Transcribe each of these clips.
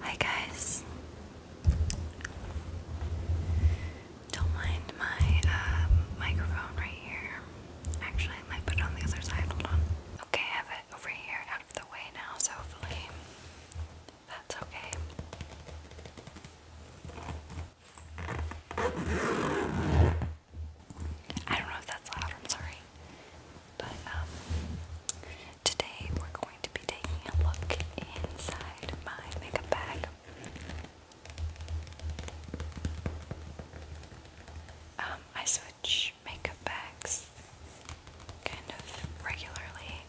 Hi guys. Don't mind my um, microphone right here. Actually, I might put it on the other side. Hold on. Okay, I have it over here out of the way now, so hopefully that's okay. I don't know if that's loud, I'm sorry. But um, today we're going to be taking a look inside my makeup bag. Um, I switch makeup bags kind of regularly.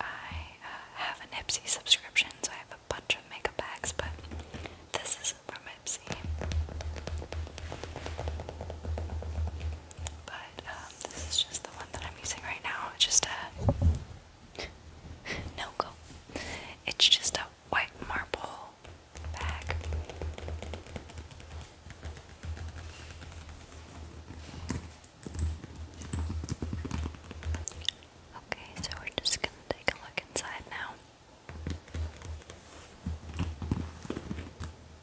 I uh, have an Ipsy subscription, so I have a bunch of makeup bags, but this is from Ipsy. But uh, this is just the one that I'm using right now. It's just a no go. It's just a white marble bag. Okay, so we're just gonna take a look inside now.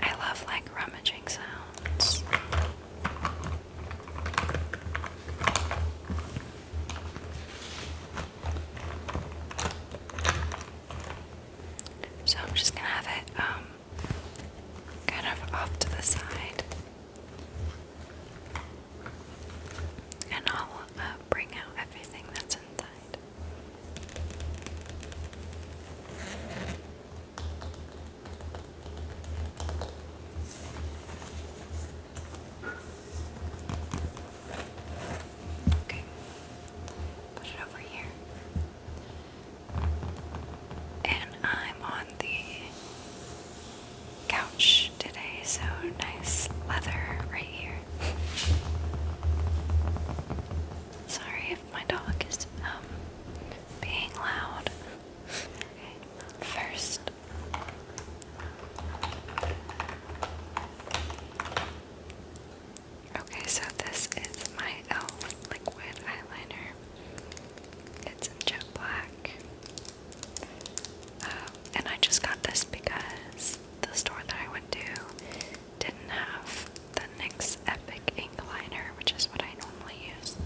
I love like rummaging sounds. So I'm just gonna have it um, kind of off to the side. And I'll uh, bring out everything that's inside. Okay, put it over here. And I'm on the couch today, so nice leather right here. Sorry if my dog is um, being loud. Okay, first. Okay, so this is my e.l.f. liquid eyeliner. It's in jet black. Um, and I just got this because the store that I went to didn't have the NYX Epic Ink Liner, which is what I normally use.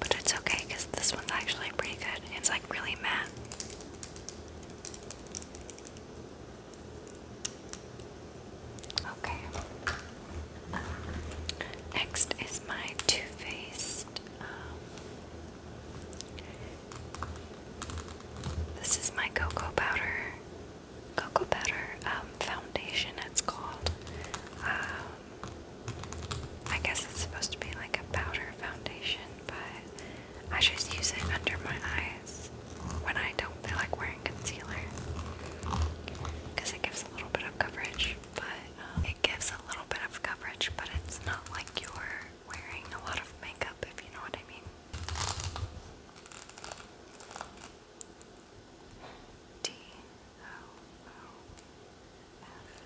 But it's okay because this one's actually pretty good. It's like really matte. Okay. Next is my Too Faced um, this is my cocoa powder, cocoa powder um, foundation. It's called. Um, I guess it's supposed to be like a powder foundation, but I just use it under my eyes when I don't feel like wearing concealer because it gives a little bit of coverage. But um, it gives a little bit of coverage, but it's not like you're wearing a lot of makeup, if you know what I mean. D O O F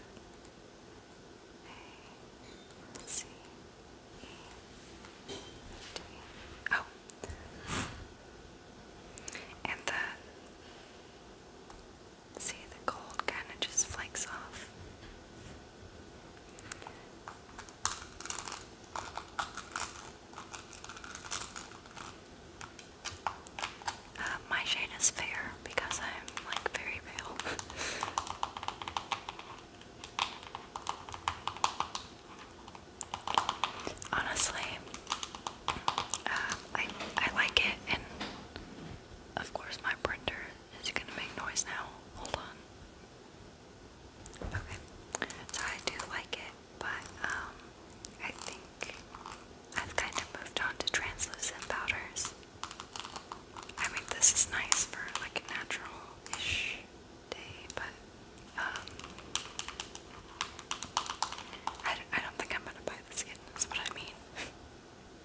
A C E D. Oh. and the See, the gold kind of just flakes off. Uh, my shade is fair because I'm like very pale. Honestly, uh, I I like it in of course, my printer is gonna make noise now. Hold on. Okay, so I do like it, but um, I think I've kind of moved on to translucent powders. I mean, this is nice for like natural-ish day, but um, I, I don't think I'm gonna buy this again. That's what I mean.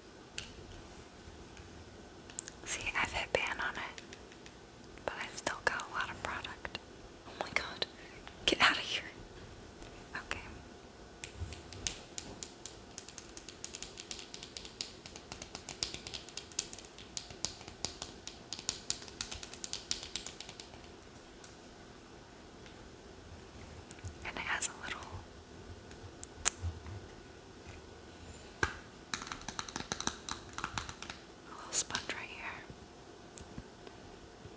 See, I've hit pan on it, but i still got a lot of product. Oh my god, get out of here! Okay. And it has a little a little sponge right here.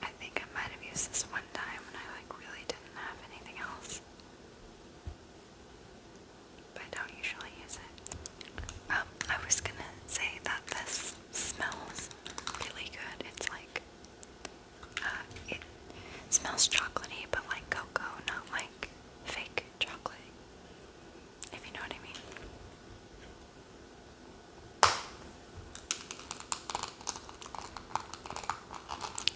I think I might have used this one time when I like really didn't have anything else. But I don't usually use it. Um, I was gonna say that this smells really good. It's like uh, it smells chocolatey, but like cocoa, not like fake chocolate. If you know what I mean.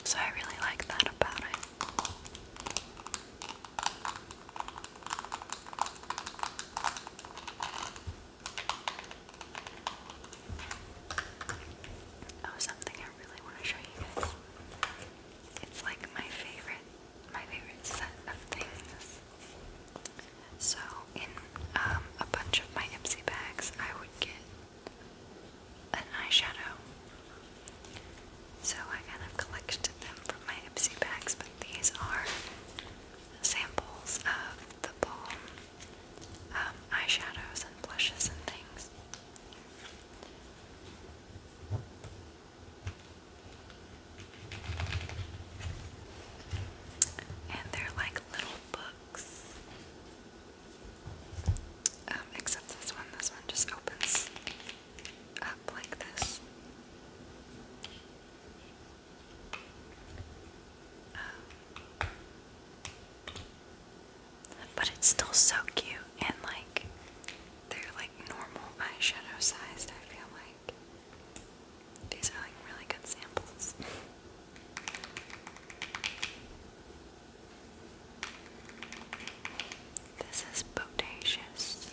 So I really like that about it. Oh, something I really want to show you guys. It's like my favorite, my favorite set of things. So, in um, a bunch of my Ipsy bags, I would get an eyeshadow. So I kind of collected them from my Ipsy bags, but these are samples of the Balm um, eyeshadows and blushes and things. And they're like little books. Um, except this one. This one just opens up like this. Um, but it's still so cute and like they're like normal eyeshadow sized, I feel like. These are like really good samples. This is bodacious.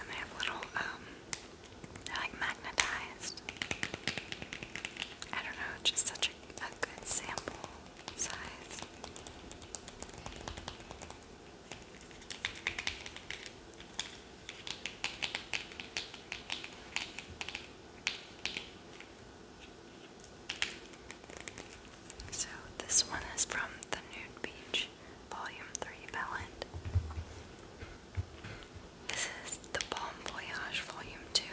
And they have little um they're like magnetized. I don't know, just such a, good sample size. So, this one is from the Nude Beach Volume 3 Pellet. This is the Bomb Voyage Volume 2.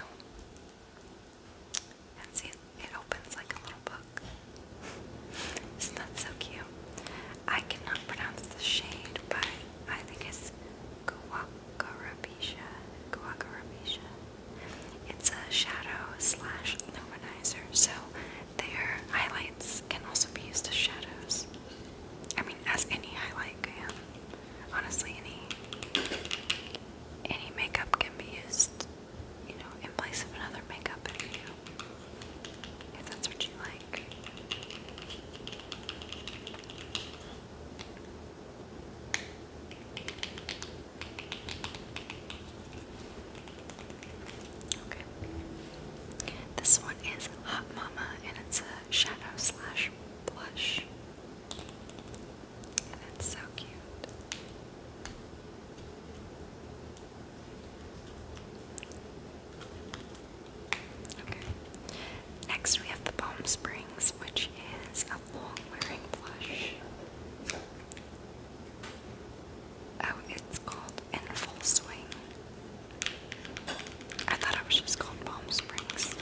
And see, it opens like a little book. Isn't so cute? I cannot pronounce the shade, but I think it's Guacarabisha. Guacarabisha. It's a shadow slash luminizer, so their highlights can also be used as shadows. I mean, as any highlight can. Honestly, any any makeup can be used, you know, in place of another makeup if you if that's what you like. Okay. This one is Hot Mama and it's a shadow slash blush. And it's so cute. Okay. Next we have the Palm Springs, which is a long wearing blush. Oh, it's called In Full Swing. I thought it was just called Palm Springs.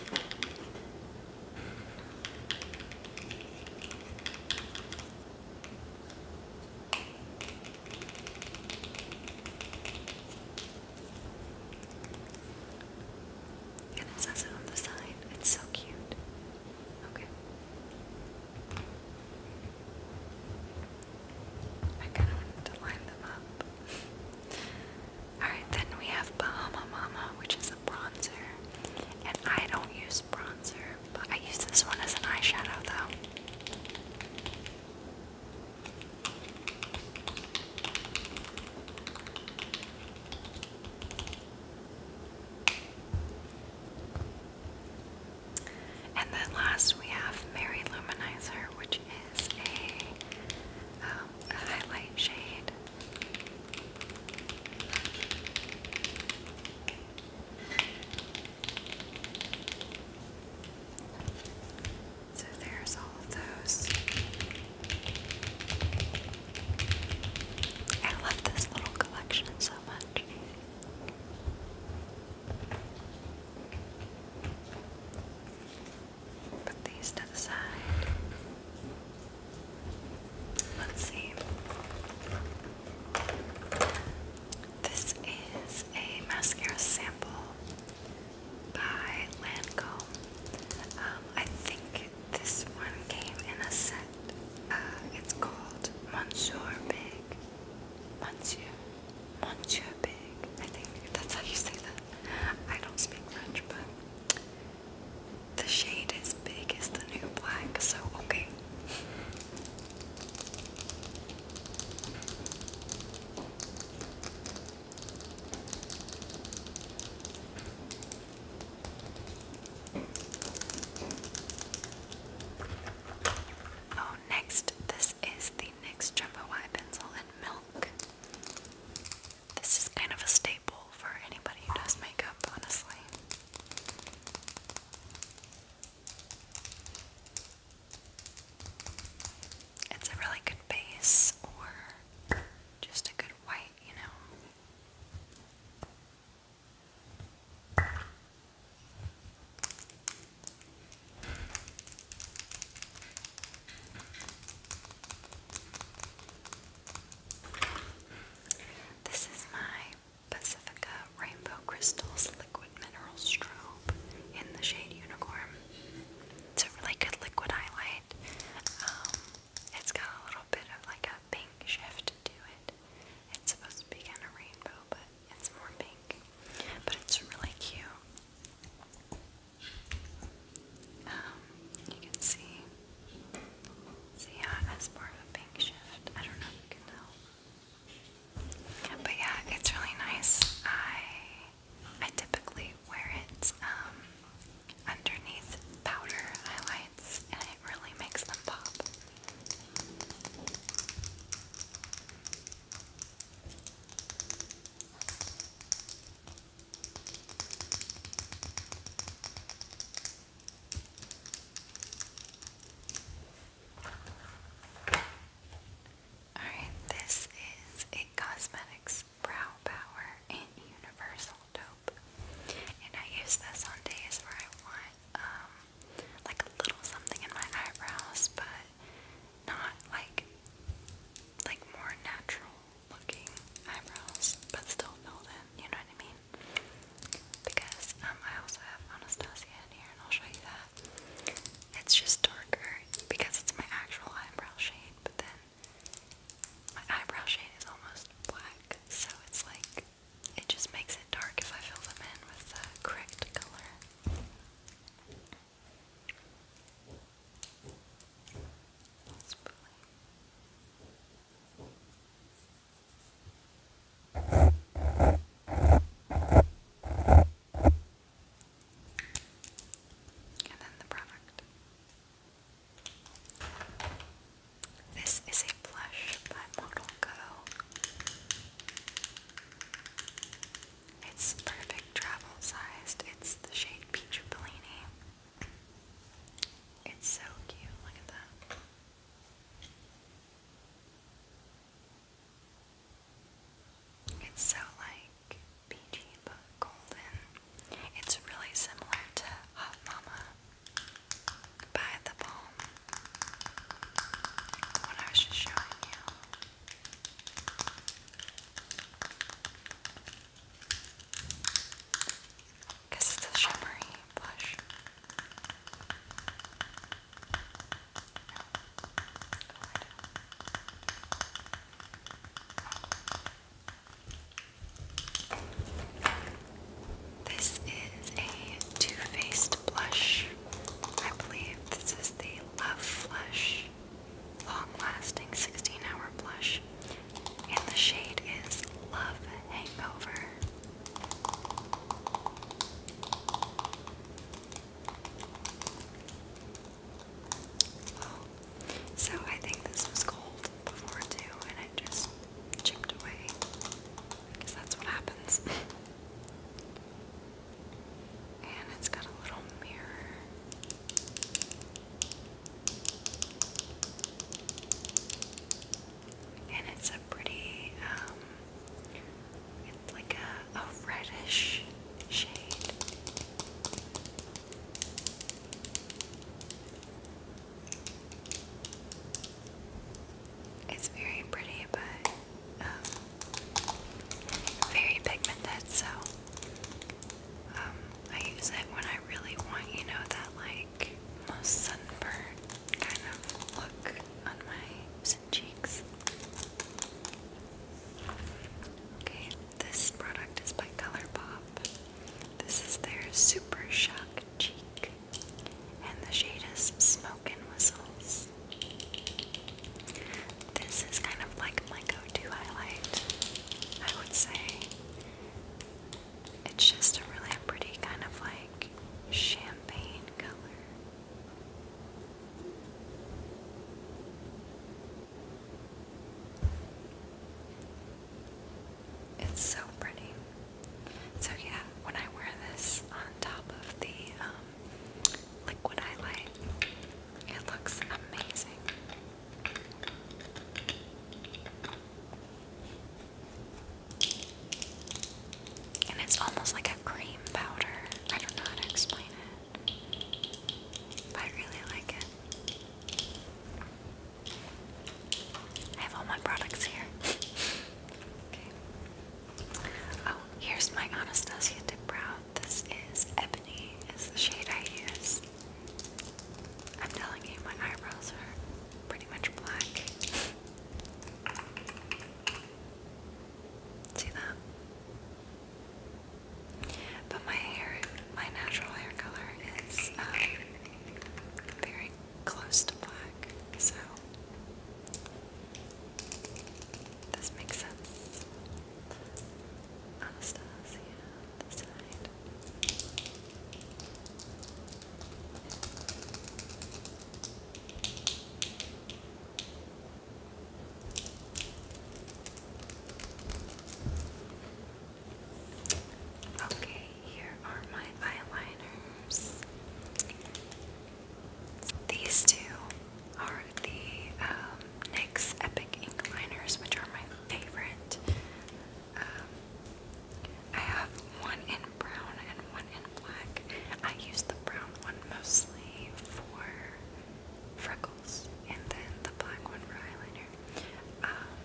And it says it on the sign. It's so cute. Okay. I kind of wanted to line them up. Alright, then we have Bahama Mama, which is a bronzer. And I don't use bronzer, but I use this one as an eyeshadow though. And then last we have Mary Luminizer, which um, a highlight shade. So there's all of those. I love this little collection so much. Put these to the side. Let's see. This is a mascara sample by Lancome. Um, I think this one came in a set. Uh, it's called Monsieur Big. Monsieur. Monsieur Big. I think that's how you say that. I don't speak French, but the shade is big as the new black, so okay. Oh, next, this is the NYX Jumbo Eye Pencil in Milk this is kind of a staple for anybody who does makeup, honestly. It's a really good base or just a good white, you know. This is my Pacifica Rainbow Crystals Liquid Mineral Strobe in the shade Unicorn. It's a really good liquid highlight. Um, it's got a little bit of like a pink shift to it. It's supposed to be kind of rainbow, but it's more pink. But it's really cute. Um, you can see, see has more of a pink shift. I don't know if you can tell. But yeah, it's really nice. I I typically wear it um, underneath powder highlights, and it really makes them pop. Alright, this is a Cosmetics Brow Power and Universal Dope. And I use this on days where I want um like a little something in my eyebrows, but not like like more natural looking eyebrows, but still filled in. You know what I mean? Because um, I also have Anastasia in here, and I'll show you that. It's just darker because it's my actual eyebrow shade, but then my eyebrow shade is almost black, so it's like it just makes it dark if I fill them in with the correct color. And then the product. This is a blush by Model Go. It's perfect travel sized. It's the shade Peach Bellini. It's so cute. Look at that. It's so like peachy but golden. It's really similar to Hot Mama by the Balm, the I was just showing you. Guess it's a shimmery blush. This is a two-faced blush. I believe this is the Love Flush long-lasting 16-hour blush, and the shade is Love Hangover. so I think this was cold before too, and it just chipped away, because that's what happens. And it's got a little mirror. And it's a pretty, um, it's like a, a reddish shade. It's very pretty, but um, very pigmented, so um, I use it when I really want, you know, that like most sunburnt kind of look on my cheeks. Okay, this product is by ColourPop. This is their Super Shock Cheek, and the shade is Smoke and Whistles. This is kind of like my go-to highlight, I would say. It's just a really pretty kind of like champagne color. It's so pretty. So yeah, when I wear this on top of the um, liquid highlight. It looks amazing. And it's almost like a cream powder. I don't know how to explain it. But I really like it. I have all my products here. okay. Oh, here's my Anastasia Dip this is Ebony, is the shade I use. I'm telling you, my eyebrows are pretty much black. See that? But my hair, my natural hair color is um, very close to black, so this makes sense. Anastasia on the side. Okay, here are my eyeliners. These two are the um, NYX Epic Ink Liners, which are my favorite. Um, I have one in brown and one in black. I use the brown one mostly for freckles, and then the black one for eyeliner. Um,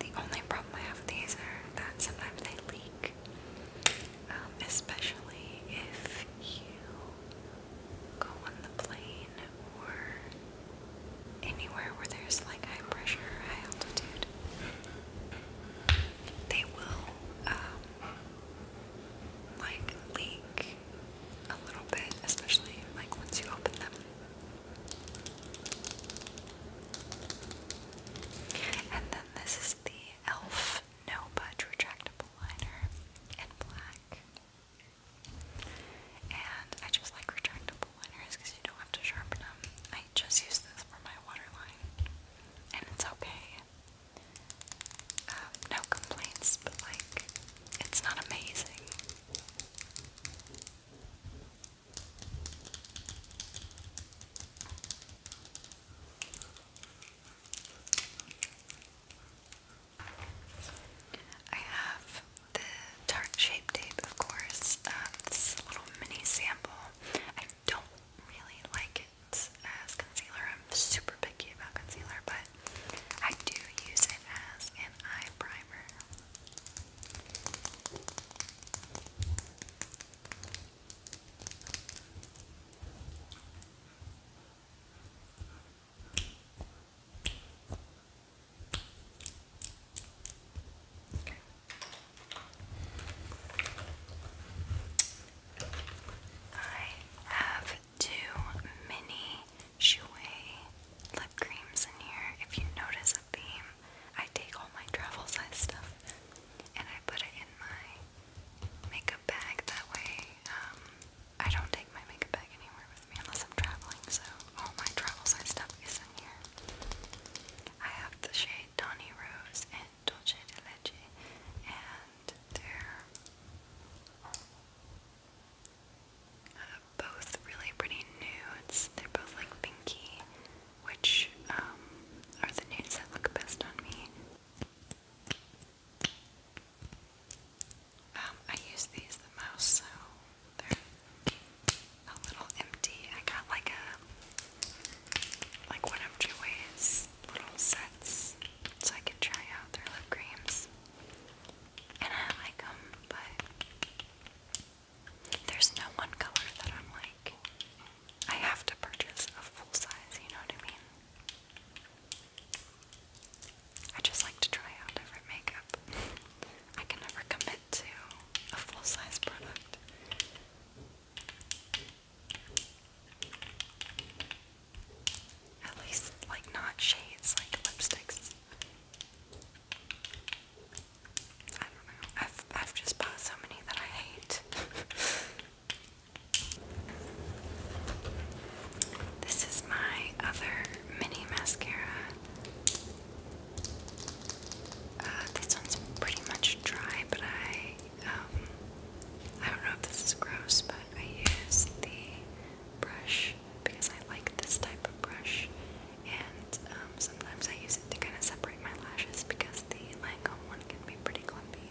the only problem I have with these are that sometimes they leak. Um, especially if you go on the plane or anywhere where there's like high pressure, high altitude. They will um, like leak a little bit, especially like once you open them. And then this is the ELF no budge retractable liner in black. And I just like retractable liners because you don't have to sharpen them. I just use this for my waterline, and it's okay. Um, no complaints, but like, it's not amazing. I have the tart shape tape, of course. Um, this is a little mini sample. I don't really like it as concealer. I'm super picky about concealer, but I do use it as an eye primer. Okay. I have two mini Shui lip creams in here. If you notice a theme, I take all my travel size stuff and I put it in my makeup bag. That way, um, I don't take my makeup bag anywhere with me unless I'm traveling. So all my travel size stuff is in here. I have the shade Donny Rose and Dolce de and they're uh, both really pretty nudes. They're both like pinky, which um, are the nudes that look best on me. Um, I use these the most, so they're a little empty. I got like a like one of Joey's little sets, so I could try out their lip creams, and I like them, but. There's no one color that I'm like I have to purchase a full size, you know what I mean? I just like to try out different makeup. I can never commit to a full size product. At least, like, not shades, like lipsticks. I don't know. I've, I've just bought so many that I hate. This is my other mini mascara. Uh, this one's pretty much dry, but I um, I don't know if this is gross, but I use the brush because I like this type of brush, and um, sometimes I use it to kind of separate my lashes because the Lancome um, one can be pretty clumpy.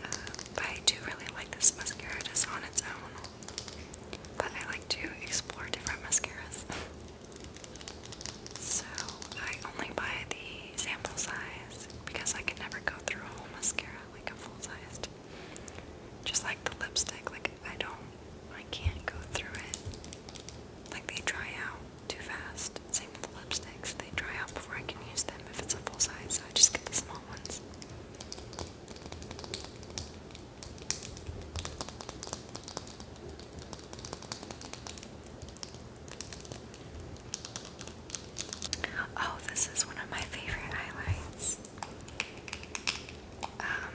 but uh, I do really like this mascara just on its own. But I like to explore different mascaras. so I only buy the sample size because I can never go through a whole mascara like a full sized. Just like the lipstick, like I don't, I can't go through it. Like they dry out too fast. Same with the lipsticks. They dry out before I can use them if it's a full size, so I just get the small ones. Oh, this is one of my favorite highlights. Um,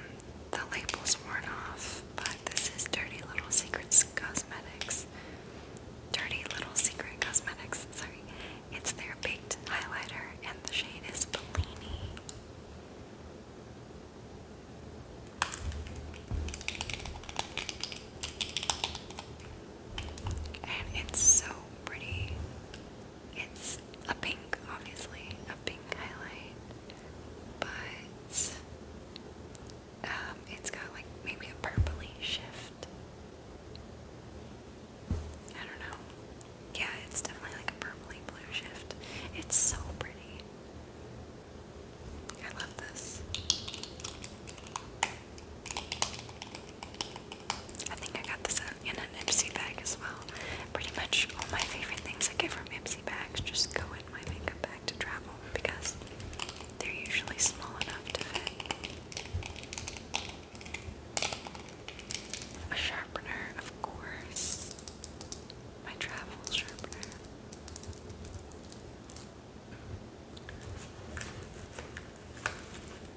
the label's worn off, but this is Dirty Little Secrets Cosmetics. Dirty Little Secret Cosmetics, sorry. It's their baked highlighter and the shade is Bellini. And it's so pretty. It's a pink, obviously, a pink highlight, but um, it's got like maybe a purpley shift. I don't know. Yeah, it's definitely like a purpley blue shift. It's so pretty. I love this. I think I got this in an Ipsy bag as well. Pretty much all my favorite things I get from Ipsy bags just go in my makeup bag to travel because they're usually small enough to fit. A sharpener, of course. My travel sharpener.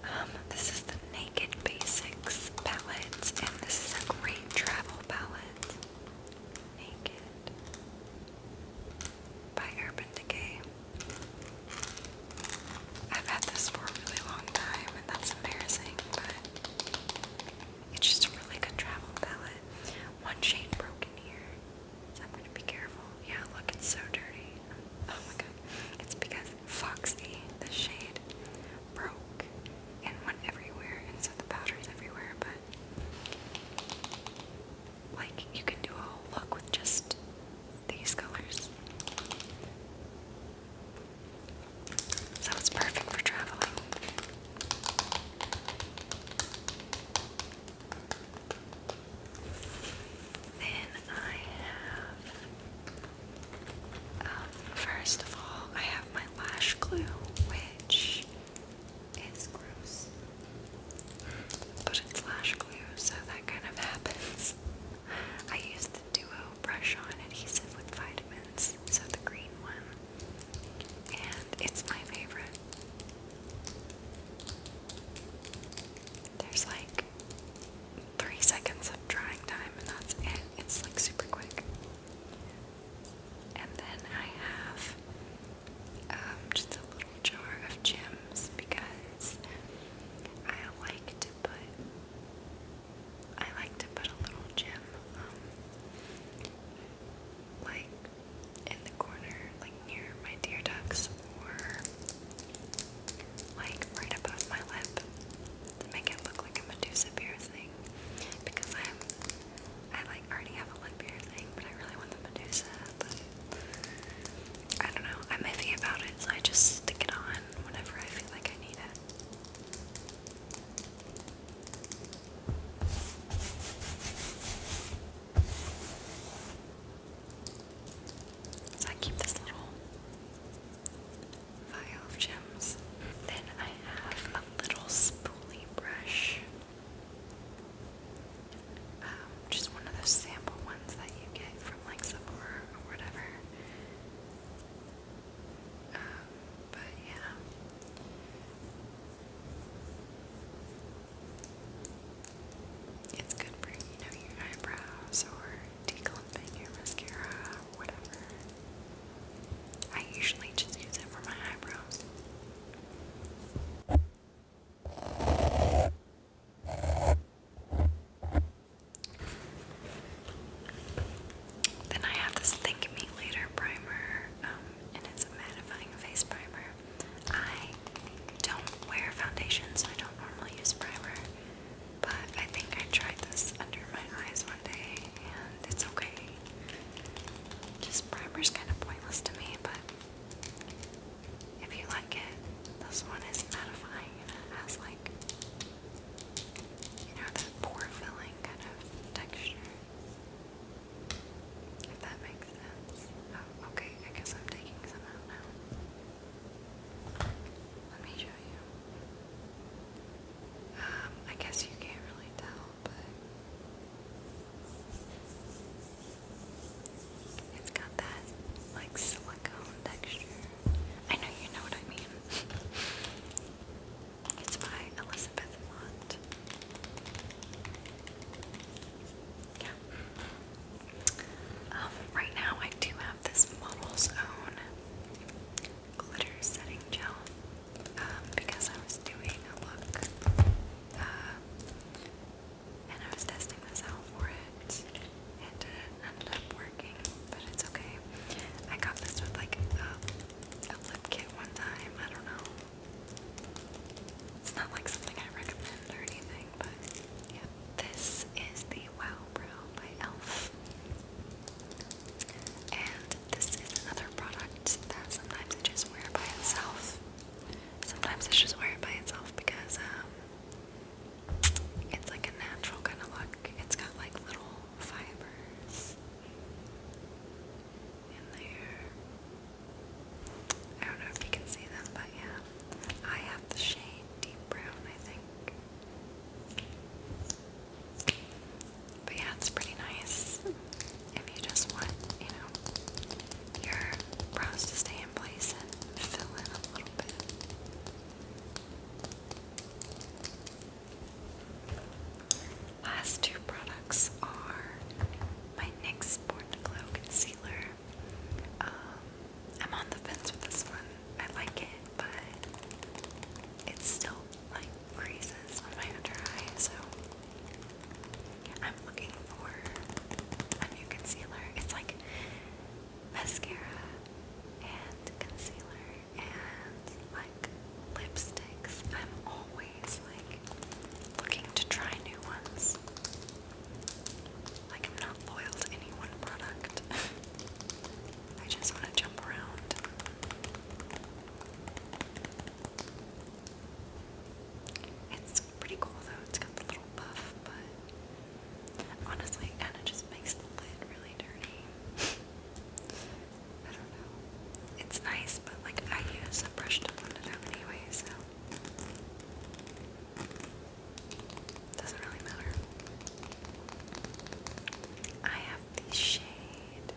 Um, this is the Naked Basics palette, and this is a great travel palette. Naked by Urban Decay. I've had this for a really long time, and that's embarrassing, but it's just a really good travel palette. One shade broken here, so I'm gonna be careful. Yeah, look, it's so dirty. Oh my god. It's because Foxy, the shade, broke and went everywhere, and so the powder's everywhere, but like you can do a whole look with just these colors. So it's perfect for traveling. Then I have, um, first of all, I have my lash glue, which it's gross. But it's lash glue, so that kind of happens. I use the Duo brush on adhesive with vitamins, so the green one. And it's my favorite. There's like three seconds of drying time, and that's it. It's like super quick. And then I have um, just a little jar of gems because I like to put I like to put a little gem um, like in the corner, like near my tear ducts or like right above my lip to make it look like a Medusa piercing because I'm I like already have a lip beard but I really want them to do But I don't know. I'm iffy about it, so I just stick it on whenever I feel like I need it. So I keep this little vial of gems. Then I have a little spoolie brush. Um, just one of those sample ones that you get from like Sephora or whatever. Um, but yeah. It's good for, you know, your eyebrows or declumping your mascara or whatever. I usually just use it for my eyebrows. Then I have this Think Me Later primer, um, and it's a mattifying face primer. I don't wear foundation, so I don't normally use primer, but I think I tried this under my eyes one day, and it's okay. Just primer is kind of pointless to me, but if you like it, this one is satisfying it has like, you know, that pore filling kind of texture. If that makes sense. Oh, okay, I guess I'm taking some out now. Let me show you. Um, I guess you can't really tell it's got that like silicone texture. I know you know what I mean. it's by Elizabeth Yeah. Um, right now I do have this Model's Own glitter setting gel um, because I was doing a look uh, and I was testing this out for it. It didn't end up working, but it's okay. I got this with like a, lip kit one time. I don't know. It's not like something I recommend or anything, but This is the Wow Brow by e.l.f. And this is another product that sometimes I just wear by itself. Sometimes I just wear it by itself because um, it's like a natural kind of look. It's got like little fibers in there. I don't know if you can see them, but yeah. I have the shade Deep Brown, I think. But yeah, it's pretty nice if you just want, you know, your brows to stay in place and fill in a little bit. Last two products are my NYX Born to Glow Concealer. Um, I'm on the fence with this one. I like it, but it's still like creases on my under eye, so I'm looking for a new concealer. It's like mascara and concealer and like lipsticks. I'm always like looking to try new ones. Like I'm not loyal to any one product. I just want to jump around. It's pretty cool though, it's got the little puff, but honestly and it just makes the lid really dirty. I don't know. It's nice, but like I use a brush to blend it out anyway, so doesn't really matter. I have the shade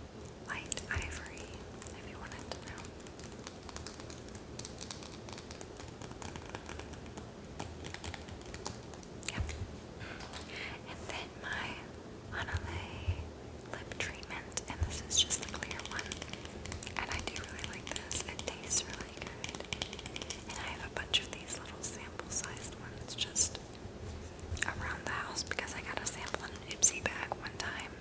light ivory, if you wanted to Yep. And then my Anale lip treatment, and this is just the clear one. And I do really like this. It tastes really good. And I have a bunch of these little sample-sized ones just around the house because I got a sample in an Ipsy bag one time.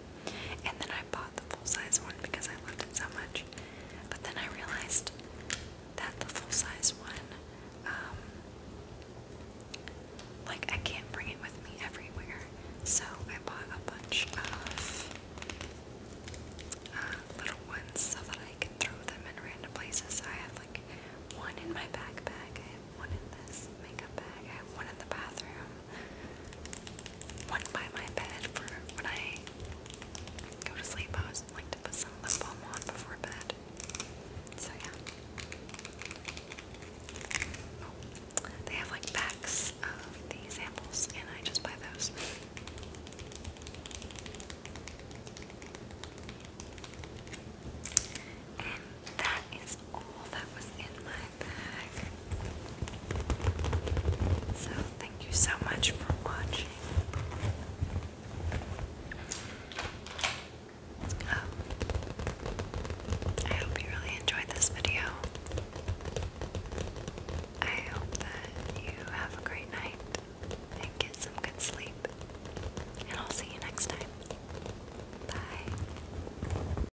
And then I bought the full-size one because I loved it so much. But then I realized that the full-size one, um, like I can't bring it with me everywhere. So I bought a bunch of uh, little ones so that I can throw them in random places. I have like one in my backpack, I have one in this makeup bag, I have one in the bathroom, one by my bed for when I go to sleep. I always like to put some lip balm on before bed. So yeah. Oh, they have like packs of the samples, and I just buy those. And that that is all that was in my bag. So, thank you so much for watching. Um, I hope you really enjoyed this video. I hope that you have a great night and get some good sleep. And I'll see you next time. Bye.